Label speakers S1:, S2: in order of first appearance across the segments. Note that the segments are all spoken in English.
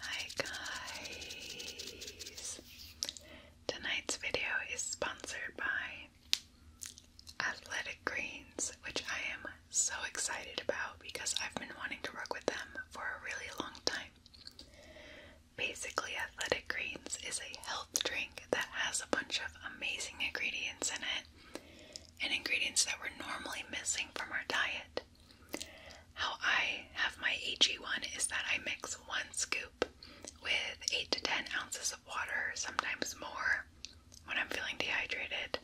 S1: Hi guys! Tonight's video is sponsored by Athletic Greens, which I am so excited about because I've been wanting to work with them for a really long time. Basically, Athletic Greens is a health drink that has a bunch of amazing ingredients in it and ingredients that we're normally missing from our diet. How I have my AG1 is that I mix one scoop with 8 to 10 ounces of water, sometimes more, when I'm feeling dehydrated.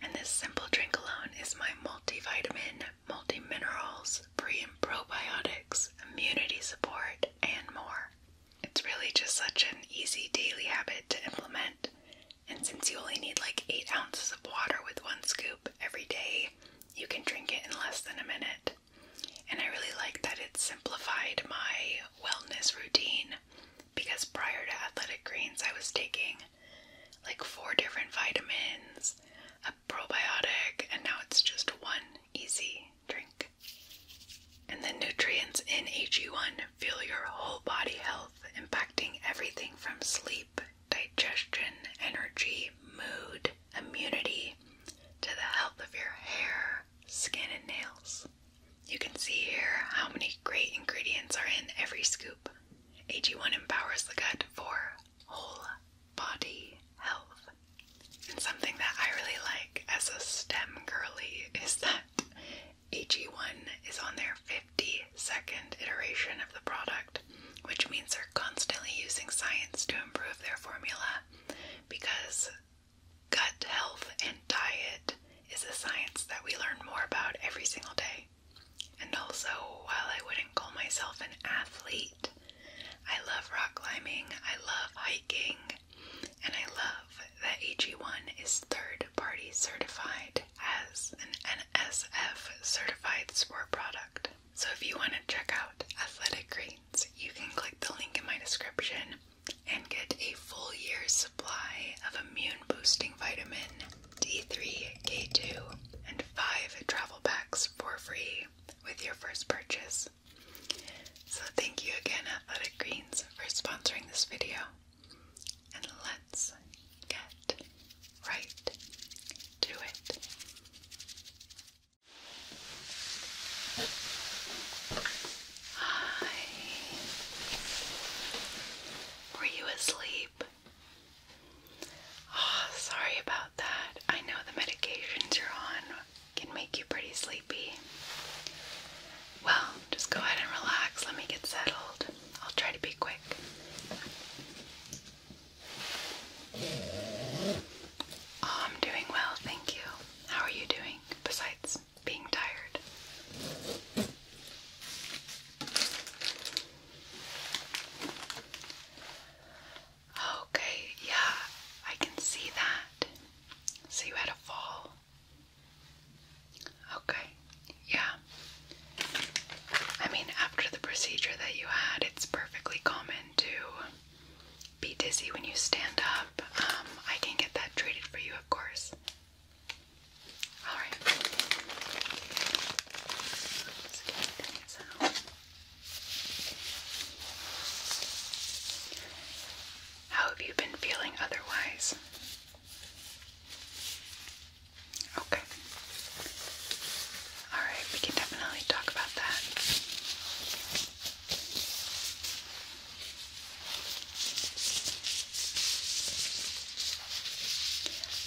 S1: And this simple drink alone is my multivitamin, multi minerals, pre and probiotics, immunity support, and more. It's really just such an easy daily habit to implement, and since you only need like 8 ounces of water with one scoop every day, you can drink it in less than a minute. And I really like that it simplified my wellness routine because prior to Athletic Greens, I was taking like four different vitamins, a probiotic, and now it's just one easy drink. And the nutrients in AG1 fuel your whole body health, impacting everything from sleep digestion, energy, mood, immunity, to the health of your hair, skin, and nails. You can see here how many great ingredients are in every scoop. AG1 empowers the gut for whole body health. And something that I really like as a STEM girly is that AG1 is on their 50 second iteration of the product, which means they're constantly using science to improve their formula because gut health and diet is a science that we learn more about every single day. And also, while I wouldn't call myself an athlete, I love rock climbing, I love hiking, and I love that AG1 is third party certified as an SF certified sport product. So if you want to check out Athletic Greens, you can click the link in my description and get a full year's supply of immune boosting vitamin D3, K2, and five travel packs for free with your first purchase. So thank you again, Athletic Greens, for sponsoring this video and let's get right to it. Hi. Were you asleep? Oh, sorry about that. I know the medications you're on can make you pretty sleepy. Well, just go ahead and relax. Let me get settled. I'll try to be quick. Oh, I'm doing well, thank you. How are you doing besides being tired? Okay, yeah, I can see that. So you had a fall. Okay. Yeah. I mean, after the procedure that you had, it's perfectly common to be dizzy when you stand up. Um, I can get that treated for you, of course. Alright. How have you been feeling otherwise? Okay. Alright, we can definitely talk about that.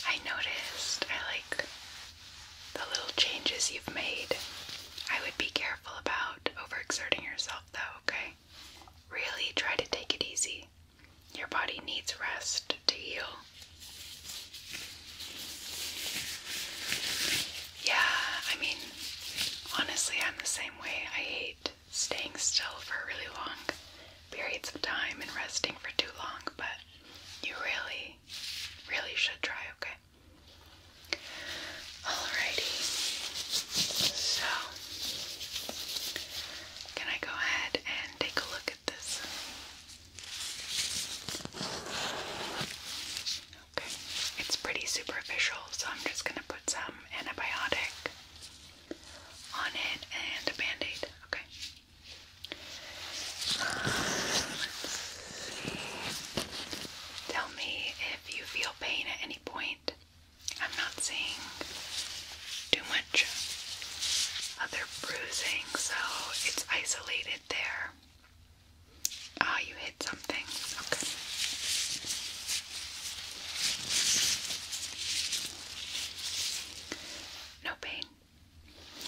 S1: I noticed I like the little changes you've made. I would be careful about overexerting yourself though, okay? Really try to take it easy. Your body needs rest to heal. Yeah, I mean, honestly, I'm the same way. I hate staying still for really long periods of time and resting for too long, but you really, really should try, okay? Alrighty. So, can I go ahead and take a look Okay, it's pretty superficial, so I'm just gonna put some antibiotic on it and a band aid. Okay. Tell me if you feel pain at any point. I'm not saying too much other bruising, so it's isolated there. Ah, oh, you hit something. Okay. No pain.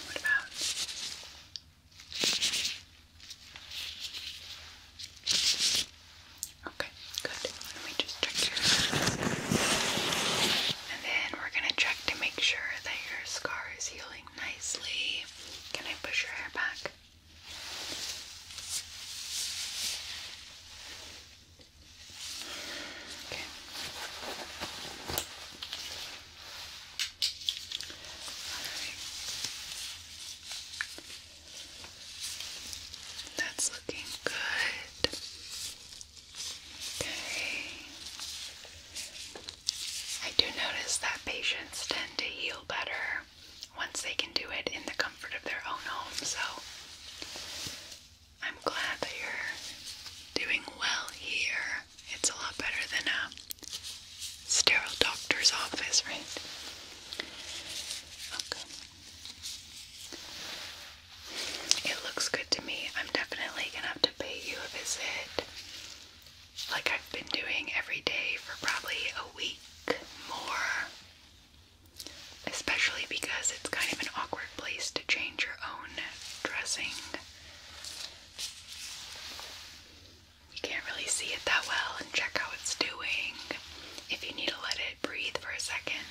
S1: What about? Okay, good. Let me just check and then we're gonna check to make sure that your scar is healing nicely. Can I push your hair back? Okay. Alright. That's looking good. Okay. I do notice that patients tend to heal better once they can do it in the comfort of their own home, so I'm glad that you're doing well here. It's a lot better than a sterile doctor's office, right? Okay. It looks good to me. I'm definitely gonna have to pay you a visit like I've been doing every day for probably a week more. Especially because it's kind of an awkward place to change your own dressing. You can't really see it that well and check how it's doing. If you need to let it breathe for a second,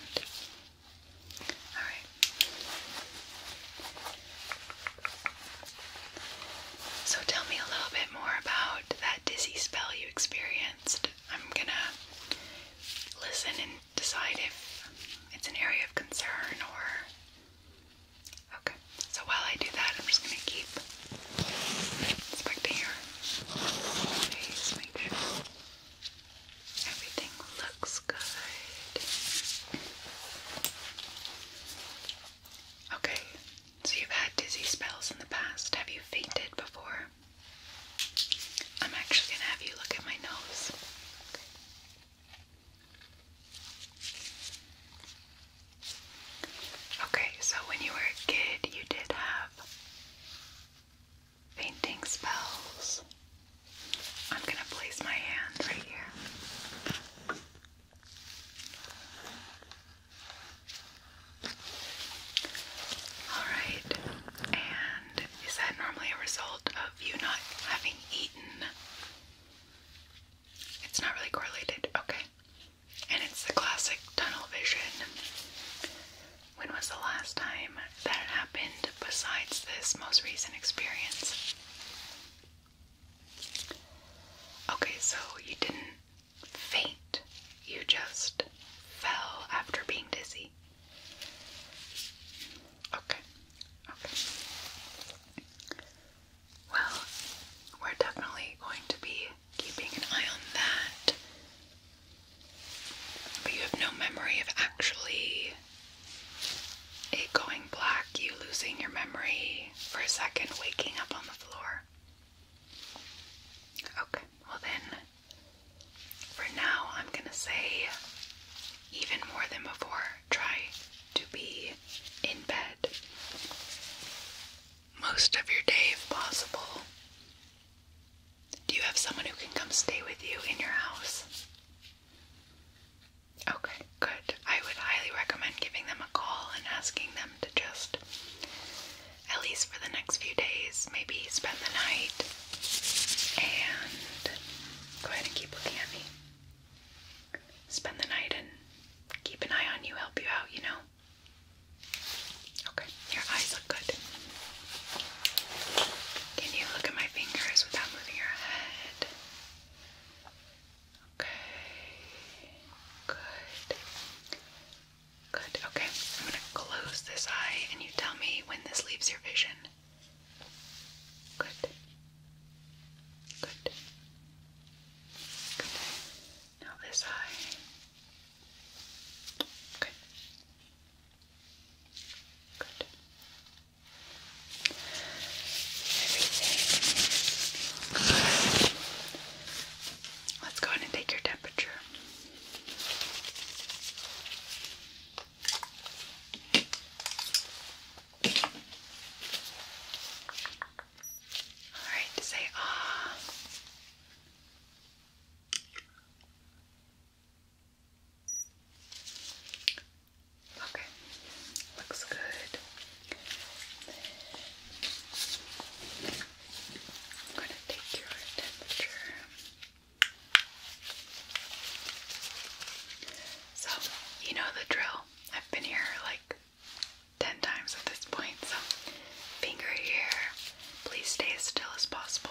S1: all right. So tell me a little bit more about that dizzy spell you experienced. I'm gonna listen and decide if it's an area of concern or. Okay. So while I do that, I'm just gonna keep inspecting your face, make sure. Everything looks good. Okay, so you've had dizzy spells in the past. Have you fainted before? I'm actually gonna have you look at my nose. Okay. Okay, so when you were a kid, you did have fainting spells. I'm going to place my hand right here. Alright, and is that normally a result of you not having eaten? It's not really correlated, okay. And it's the classic tunnel vision. When was the last time that happened besides this most recent experience? Okay, so you didn't faint, you just fell after being dizzy. Okay, okay. Well, we're definitely going to be keeping an eye on that. But you have no memory of actually it going black, you losing your memory for a second, waking up on the floor. Okay, well then, for now, I'm gonna say, even more than before, try to be in bed most of your day if possible. Do you have someone who can come stay with you in your house? Okay, good. I would highly recommend giving them a call and asking them to just, at least for the next few days, maybe spend the night and go ahead and keep looking at me. Spend the night and keep an eye on you, help you out, you know? Okay, your eyes look good. Can you look at my fingers without moving your head? Okay. Good. Good. Okay. I'm going to close this eye and you tell me when this leaves your vision. Good. Good. Good. Now this eye. Okay. Let's go ahead and take your temperature. All right, say ah. Okay, looks good. I'm going to take your temperature. So, you know the drill. I've been here like 10 times at this point, so finger here. Please stay as still as possible.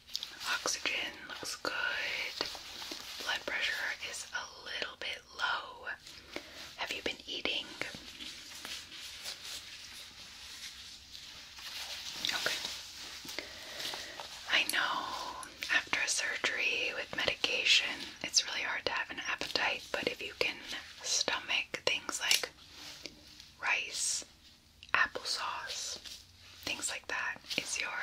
S1: Oxygen looks good. Blood pressure is a little bit low. Have you been eating? Okay. I know after surgery with medication, it's really hard to have an appetite, but if you can stomach things like rice, applesauce, things like that. Is your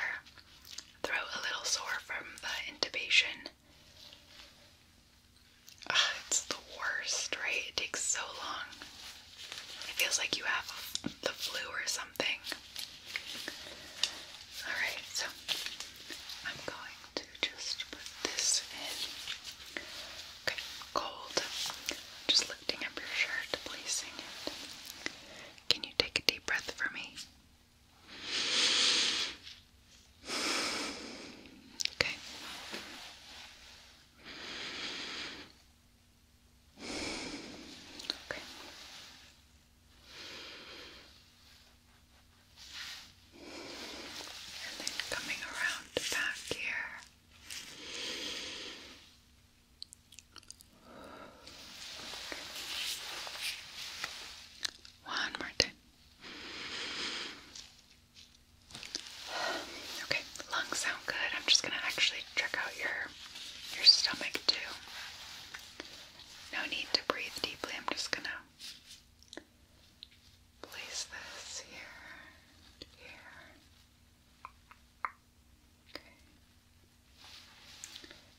S1: throat a little sore from the intubation? it's the worst, right? It takes so long. It feels like you have the flu or something. Alright, so I'm going to just put this in. Okay, cold. Just up your shirt, placing it. Can you take a deep breath for me? Okay. Okay. And then coming around back here. One more time. Okay, lungs sound good. I'm just gonna actually check out your your stomach too. No need to breathe deeply. I'm just gonna place this here, here.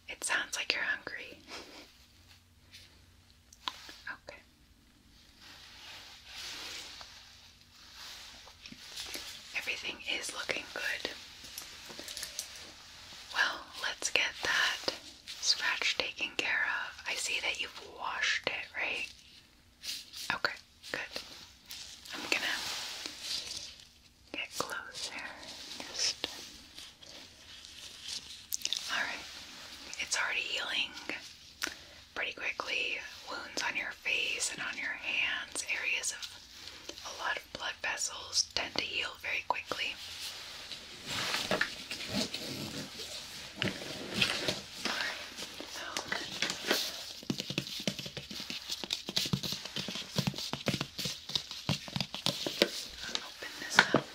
S1: It sounds like you're hungry. okay. Everything is looking good. Well, let's get that scratch taken care of. I see that you've washed it, right? Okay, good. I'm gonna get close Just all right. It's already healing pretty quickly. Wounds on your face and on your hands, areas of a lot of blood vessels tend to heal very quickly. I'll open this up.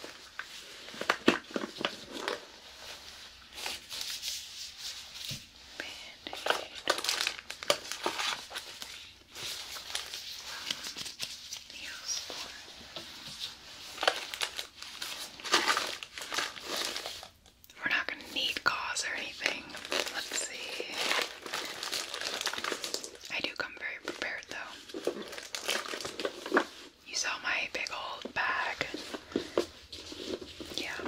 S1: Band-aid. Nails for we're not going to need gauze or anything. Let's see. I do come very prepared though. You saw my big old bag. Yeah.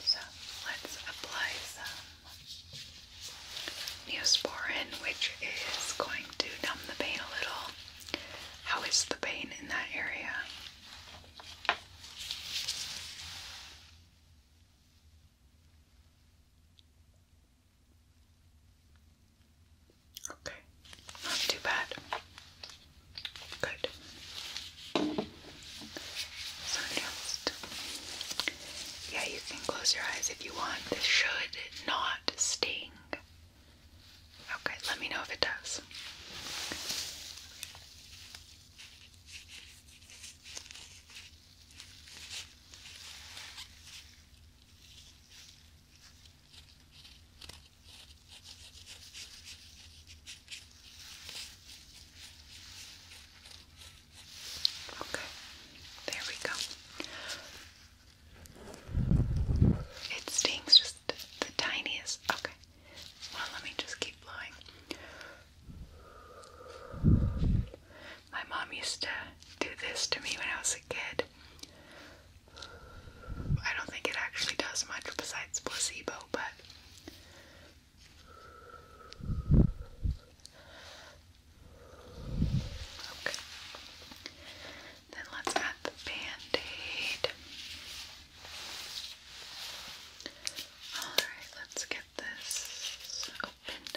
S1: So let's apply some Neosporin, which is going to numb the pain a little. How is the pain in that area? Okay, not too bad. Good. So just, yeah, you can close your eyes if you want. This should not sting. Okay, let me know if it does. Okay, there we go. It stings just the tiniest. Okay, well, let me just keep blowing. My mom used to do this to me when I was a kid. I don't think it actually does much besides placebo, but Okay. Then let's add the band-aid. Alright, let's get this opened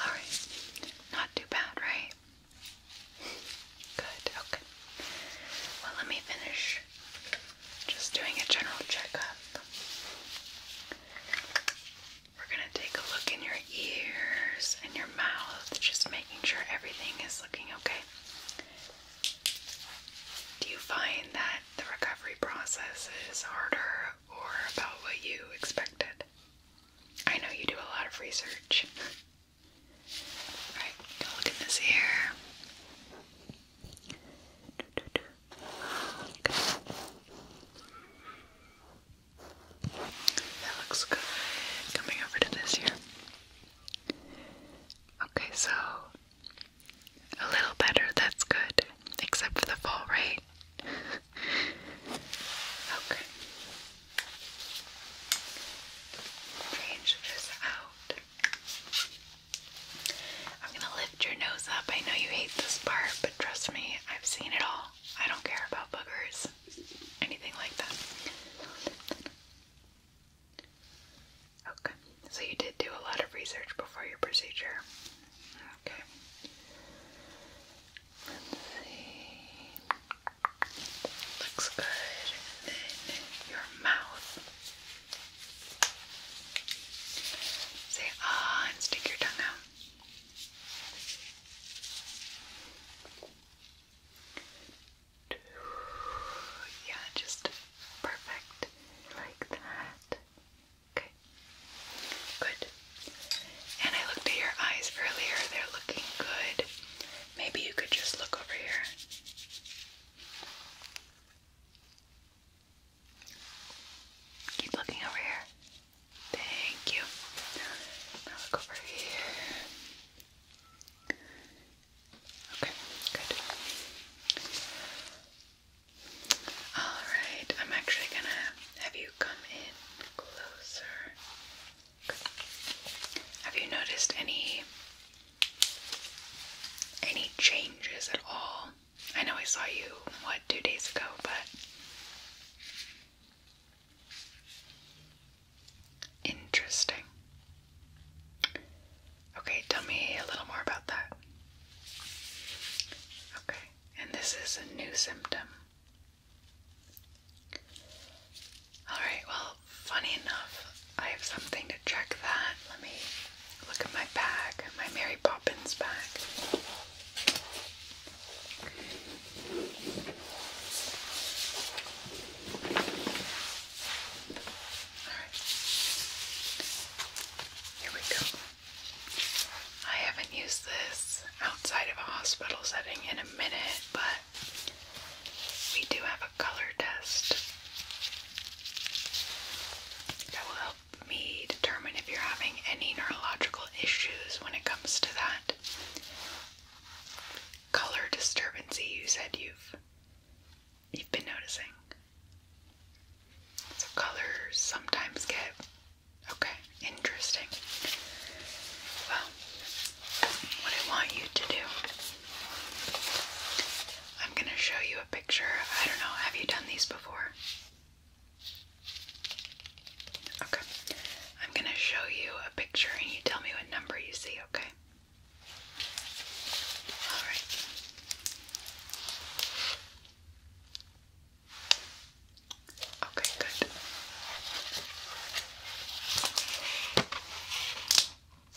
S1: Alright, not too bad, right? Good, okay. Well, let me finish just doing a general checkup. We're gonna take a look in your ears and your mouth, just making sure everything is looking okay. Do you find that the recovery process is harder or about what you expected. I know you do a lot of research. Alright, look in this ear. That looks good. Coming over to this ear. Okay, so a little better, that's good. Except for the fall, right? okay. Change this out. I'm gonna lift your nose up. I know you hate this part, but trust me, I've seen it all. I don't care about boogers, anything like that. Okay, so you did do a lot of research before your procedure. Okay. Let's see. Looks good. your mouth. Say ah and stick your tongue out. Yeah, just perfect like that. Okay. Good. And I looked at your eyes earlier. They're looking good. Maybe you could just look over here. Keep looking over here. Thank you. Now look over here. Okay, good. Alright, I'm actually gonna have you come in closer. Have you noticed any any changes at all? I know I saw you what two days ago, but interesting. Okay, tell me a little more about that. Okay, and this is a new symptom. Alright, well, funny enough, I have something to check that. Let me look at my bag, my Mary Poppins bag. here we go. I haven't used this outside of a hospital setting in a minute, but we do have a color test that will help me determine if you're having any neurological issues when it comes to that color disturbance you said you've you've been noticing. So colors sometimes get okay, interesting. Well, what I want you to do, I'm gonna show you a picture. I don't know, have you done these before? Okay, I'm gonna show you a picture and you tell me what number you see, okay? Alright. Okay, good.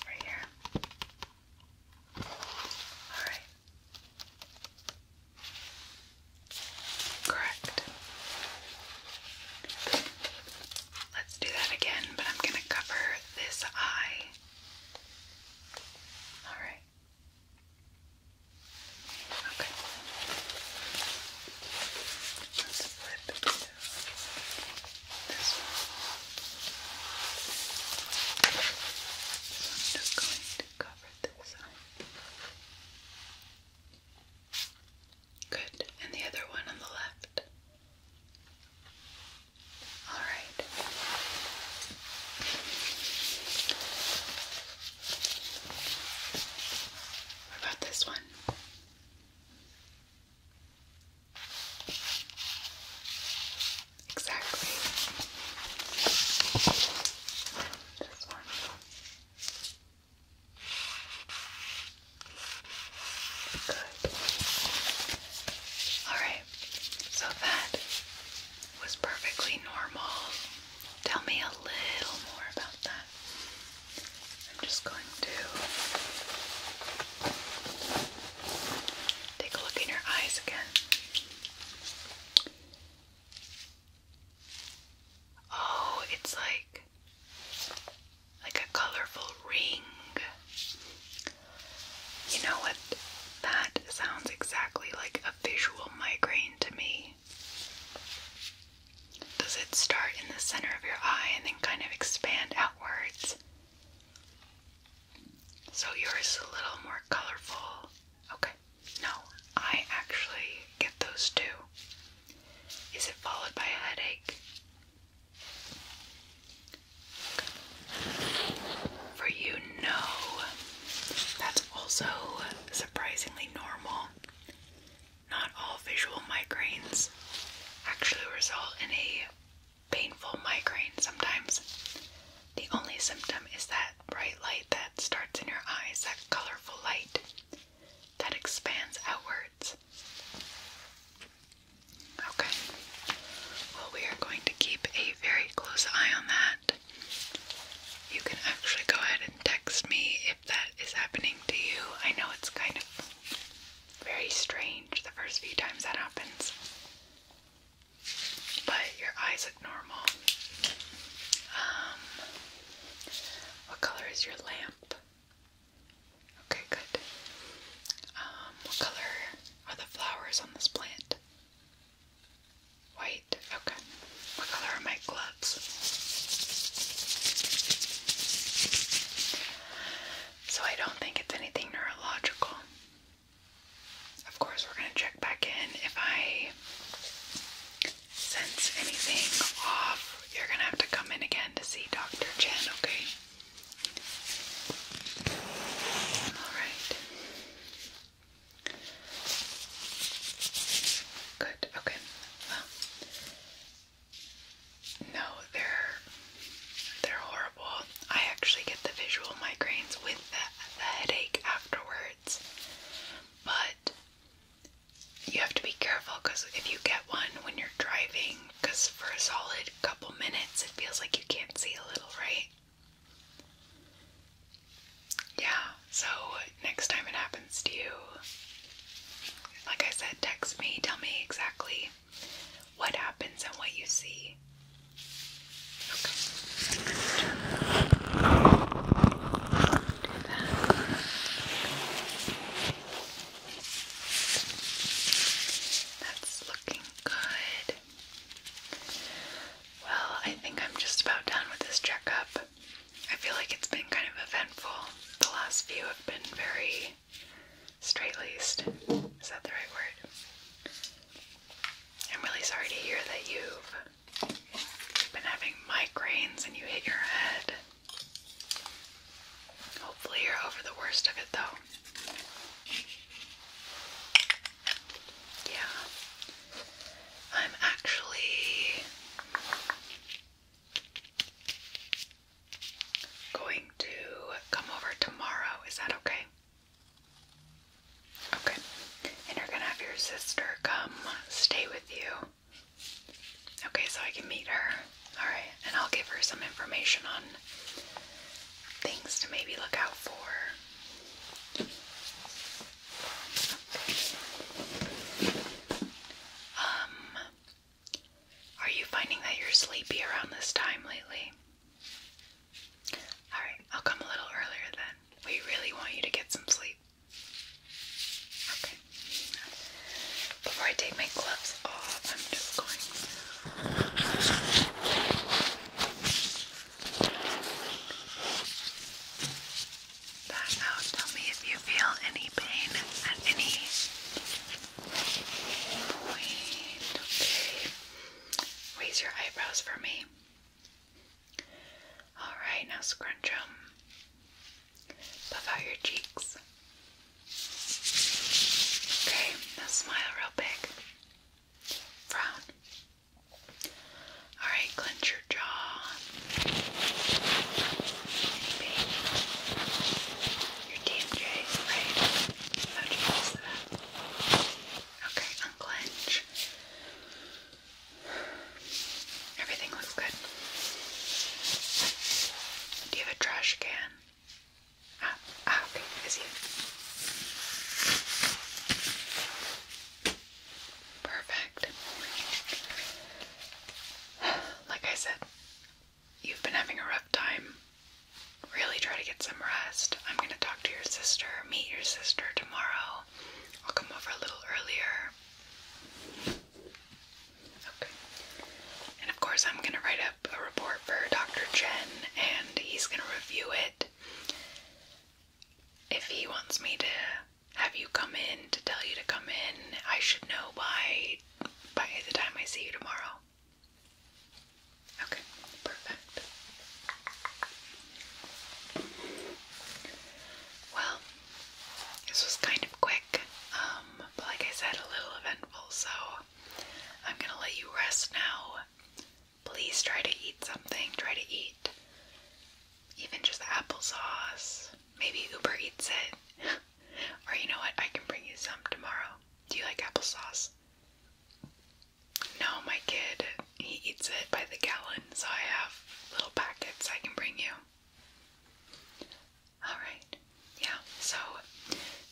S1: Right here. All right. Correct. Let's do that again, but I'm going to cover this eye. All right. Okay. Let's flip to this one. I'm just going to cover this side. Good. And the other one on the left. All right. about this one? Exactly. Good. All right. So that was perfectly normal. Tell me a little more about that. I'm just going to take a look in your eyes again. Oh, it's like like a colorful ring. You know what? That sounds exactly like a visual migraine to me. Does it start in the center of your eye and then kind of expand outwards? So yours is a little more colorful. Okay. No, I actually get those too. Is it followed by a headache? For you know, that's also surprisingly normal. Not all visual migraines actually result in a painful migraine sometimes. The only symptom is that bright light that starts in your eyes, that colorful light that expands outwards. Okay, well, we are going to keep a very close eye on that. You can actually go ahead and text me if that is happening to you. I know it's kind of very strange the first few times that happens, but your eyes look normal. Um, what color is your lamp? Okay, good. Um, what color are the flowers on this plant? White, okay. What color are my gloves? So I don't think it's anything neurological. Of course, we're going to check back in. If I sense anything off, you're going to have to come in again to see Dr. Chen, okay? Alright. Good, okay. Well, no, they're they're horrible. I actually get the visual migraines with the, the headache afterwards. But you have to be careful because if you get one when you're driving, because for a solid couple minutes it feels like you can't see a little, right? Yeah, so next time it happens to you, like I said, text me, tell me exactly what happens and what you see. Okay. That's looking good. Well, I think I'm just about done with this checkup. I feel like it's been kind of eventful. The last few have been very straight laced. Is that the right word? I'm really sorry to hear that you've been having migraines and you hit your head. Hopefully, you're over the worst of it though. Yeah. I'm actually going to come over tomorrow. Is that okay? Okay. And you're going to have your sister come stay with you. Okay, so I can meet her. Alright, and I'll give her some information on things to maybe look out for. Um, are you finding that you're sleepy around this time lately? Alright, I'll come a little earlier then. We really want you to get some sleep. Okay. Before I take my gloves off, I'm just going. Back out. Tell me if you feel any pain at any point. Okay. Raise your eyebrows for me. Alright, now scrunch them. Puff out your cheeks. Okay, now smile real big. Frown. Alright, clench your jaw. Maybe. Your TMJ, right? Okay, unclench. Everything looks good. Do you have a trash can? Ah, ah okay, I Perfect. Like I said, you've been having a rough time. Really try to get some rest. I'm going to talk to your sister, meet your sister tomorrow. I'll come over a little earlier. Okay. And of course, I'm going to write up a report for Dr. Chen and he's going to review it. If he wants me to have you come in, to tell you to come in, I should know by by the time I see you tomorrow. Okay, perfect. Well, this was kind of quick, um, but like I said, a little eventful, so I'm gonna let you rest now. Please try to eat something. Try to eat even just applesauce. Maybe Uber eats it. or you know what? I can bring you some tomorrow. Do you like applesauce? No, my kid, he eats it by the gallon, so I have little packets I can bring you. Alright, yeah, so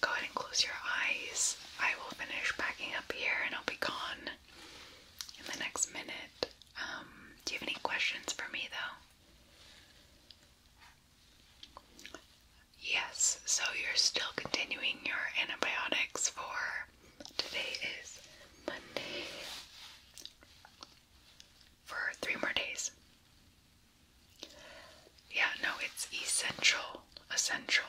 S1: Go ahead and close your eyes. I will finish packing up here and I'll be gone in the next minute. Um, do you have any questions for me though? Yes, so you're still continuing your antibiotics for today is Monday for three more days. Yeah, no, it's essential. Essential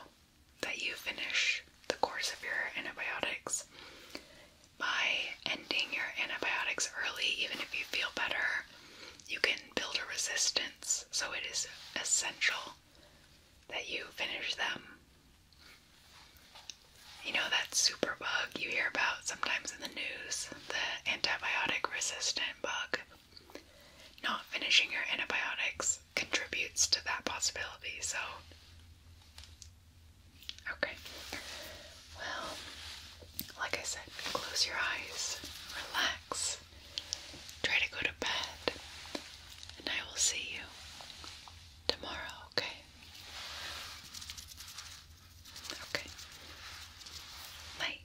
S1: that you finish the course of your antibiotics by ending your antibiotics early, even if you feel better, you can build a resistance. So it is essential that you finish them. You know that super bug you hear about sometimes in the news, the antibiotic resistant bug not finishing your antibiotics contributes to that possibility. So, okay. Well, like I said, close your eyes, relax, try to go to bed, and I will see you tomorrow, okay? Okay. Night.